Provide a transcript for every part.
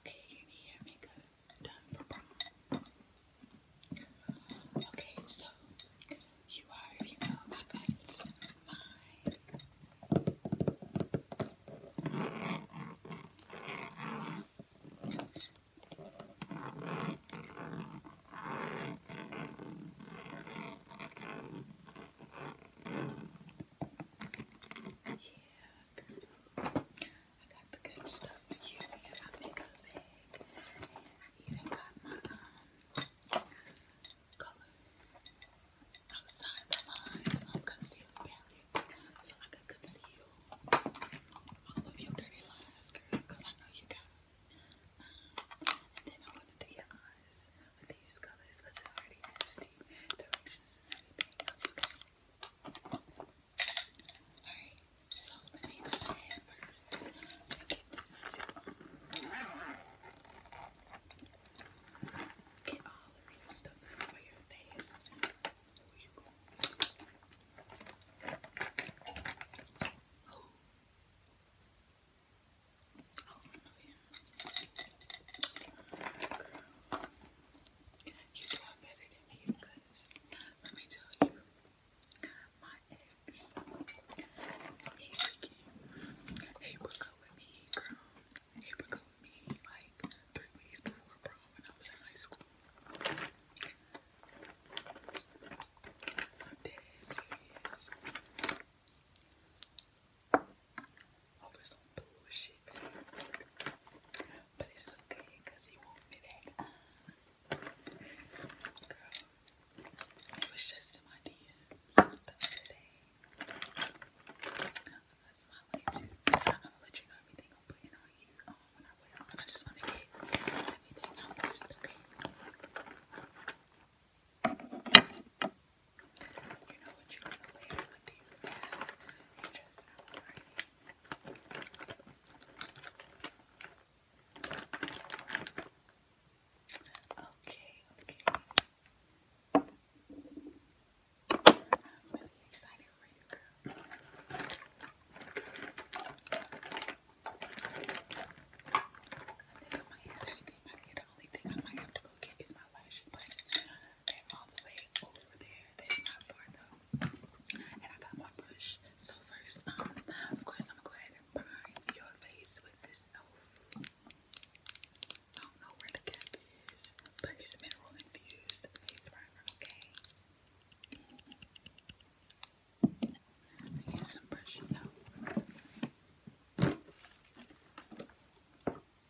Okay, you makeup done for prom. Okay, so you already know I got mine. Yeah, girl. I got the good stuff for you in my makeup bag. I even got my color outside the lines of palette. So I could conceal all of your dirty lines, girl, because I know you got and then I want to do your eyes with these colors because it already has the directions and everything. Okay. Alright, so let me go ahead first. Let me get this Get all of your stuff out for your face. Where you going? Oh. Oh, no, yeah. Girl. You're doing better than me because let me tell you, my ex, he freaking, he broke up with me, girl. He broke up with me like three weeks before prom when I was in high school. I'm dead serious over some bullshit. But it's okay he won't be girl, it was just an idea That's my way I'm to let you know everything I'm putting on you um, when I wear on. I just wanna get everything out first, okay? You know what you're to wear. What you Okay, okay. I'm really excited for you, girl. I think I might have I think the only thing I might to go get is my lashes, but they're all the way over there. That's not far though. And I got my brush. So first, um, of course, I'm gonna go ahead and prime your face with this elf. I don't know where the cap is, but it's mineral infused face primer. Okay. I get some brushes out.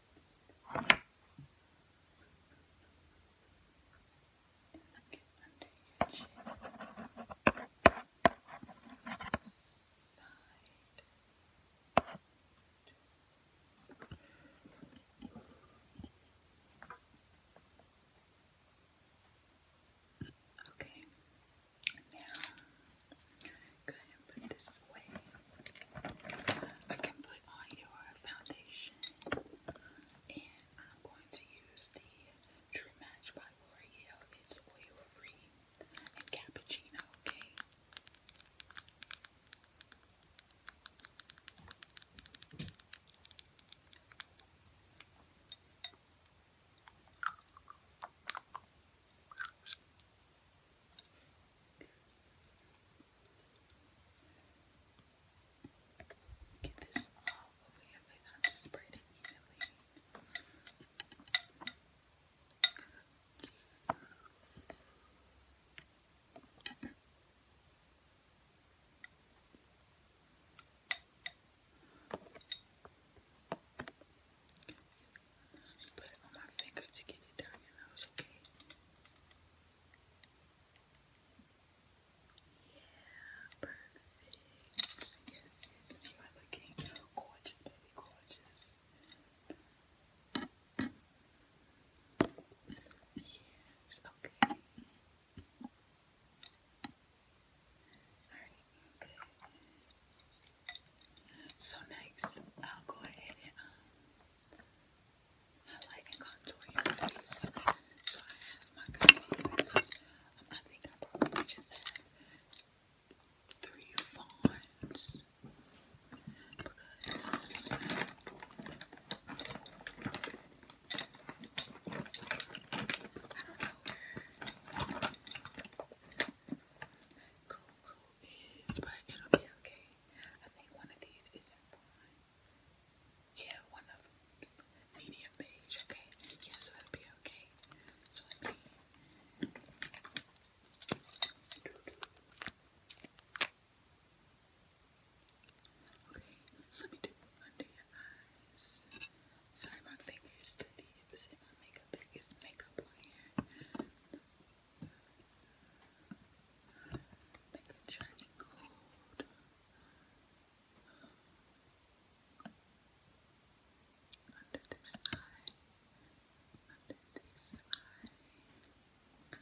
Get under Okay, now I can put on your foundation, and I'm going to use the True Match by L'Oreal. It's oil free and cappuccino, Okay, Get this all over your face. I'm just spread it evenly. Yeah, perfect. Yes, you are looking gorgeous, baby, gorgeous. Yes, okay. Alright, good. So next, I'll go ahead and um, I like contouring my face. So I have my concealers. Um, I think I just have three fawns because I know where but it'll be okay. I think one of these isn't Yeah, one of them's medium beige. Okay, yeah, it'll be okay. Okay, let me do under eyes. Sorry, my finger is dirty. It was in my makeup. It's makeup on here. Make it shiny gold. Under this eye. Under this eye.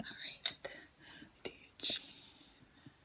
All right, do your chin.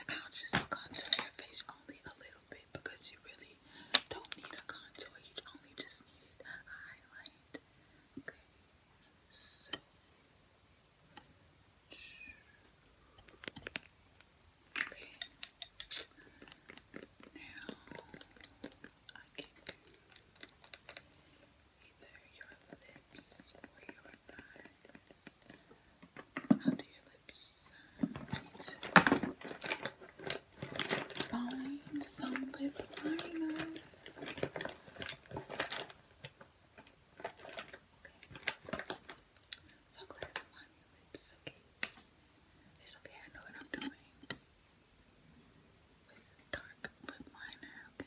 And I'll just contour your face only a little bit because you really don't need a contour. You only just need a highlight. Okay. Okay. Now I can either your lips or your eyes. I'll do your lips. Find some lip liner. Okay. So go ahead and line your lips, okay? It's okay, I know what I'm doing. With dark lip liner, Okay.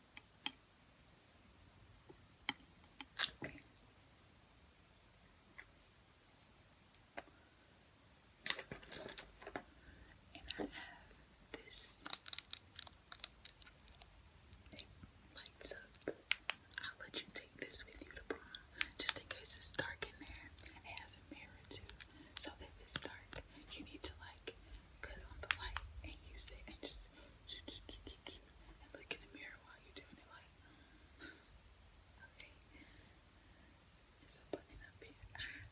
Okay. And I have this it lights up. I'll let you take this with you to prom just in case it's dark in there. It has a mirror too. So if it's dark, you need to like cut on the light and use it and just and look in the mirror while you're doing it mm. okay it's a button up here okay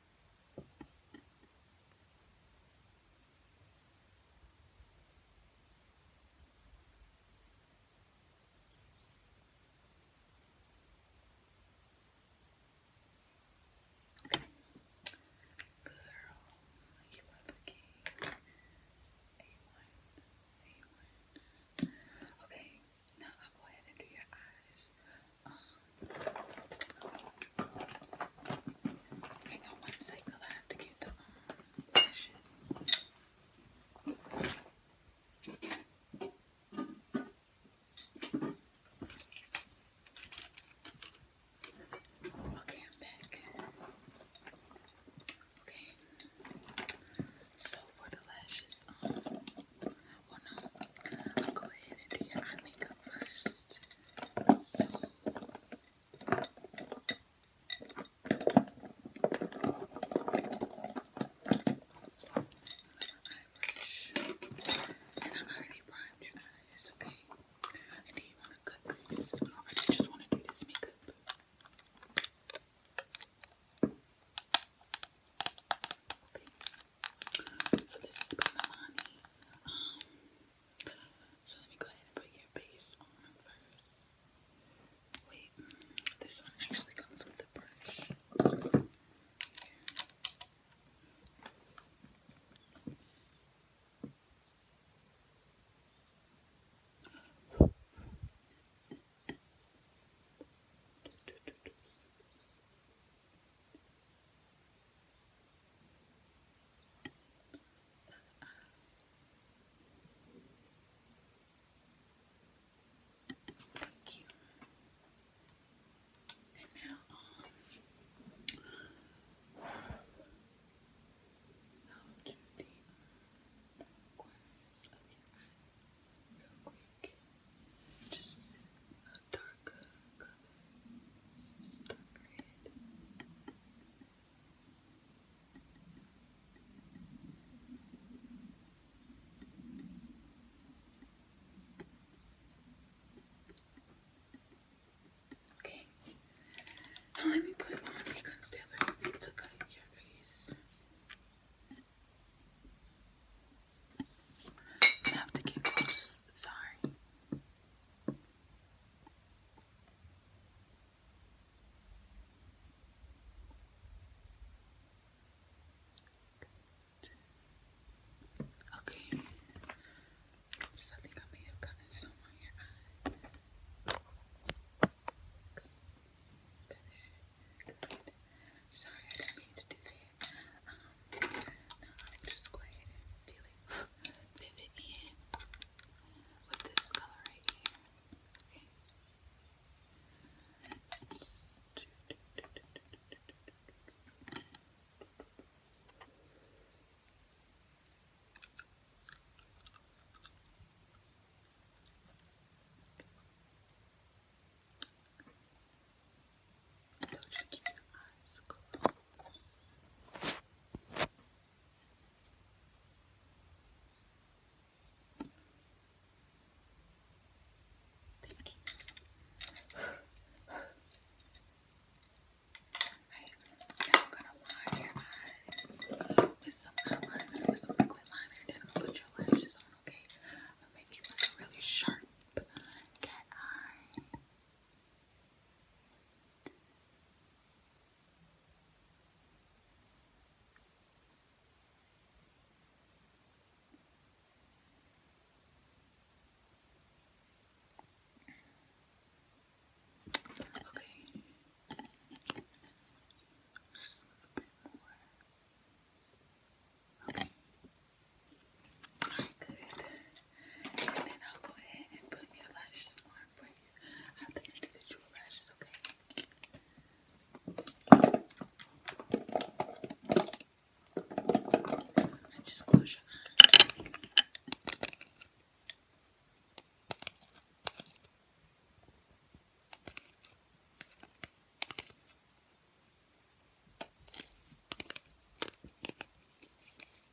Girl, you are looking A1, A1. Okay, now I'll go ahead and do your eyes. Um, hang Okay, I'm back. Okay. So for the lashes, um, well no, go ahead and do your eye makeup first eyelash. And I've already primed your eyes, okay? And do you want to cut crease? Or do you just want to do this makeup? Okay, so this um, let me go ahead and put your base on first. Wait, mm, this one actually comes with the brush. Thank you. And now, um, i the um, corners of your eye Just dark good colors. Okay. let me put on a concealer to cut your face. I have to get close. Sorry. Okay. So think I may have gotten some on your eye. Good. Good. Sorry, I didn't mean to do that. Um, um, now just go feeling pivot in with this color right here. Don't you keep your eyes closed? Beauty. I'm gonna line your eyes with some liquid liner, then I'm put your lashes on, okay? I'm make you look really sharp. Cat eye. Okay. Just a little bit more. Okay. Good. And then I'll go ahead and put your lashes on for you. I have individual lashes, okay? just close your eyes.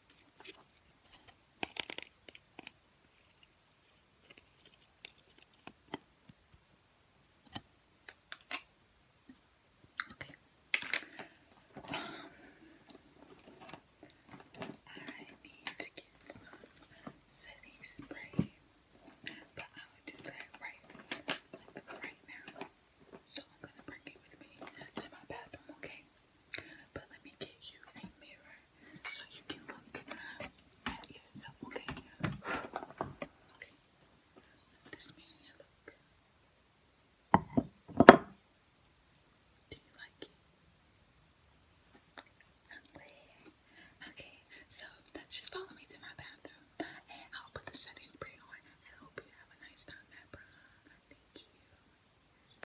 Okay. Um, I need to get some setting spray, but I will do that right, like right now. So I'm gonna bring it with me to my bathroom, okay? But let me get you a mirror so you can look at yourself, okay? Okay. This mirror here, Do you like it? Okay, so just follow me to my bathroom and I'll put the setting spray on I hope you have a nice time at Thank you.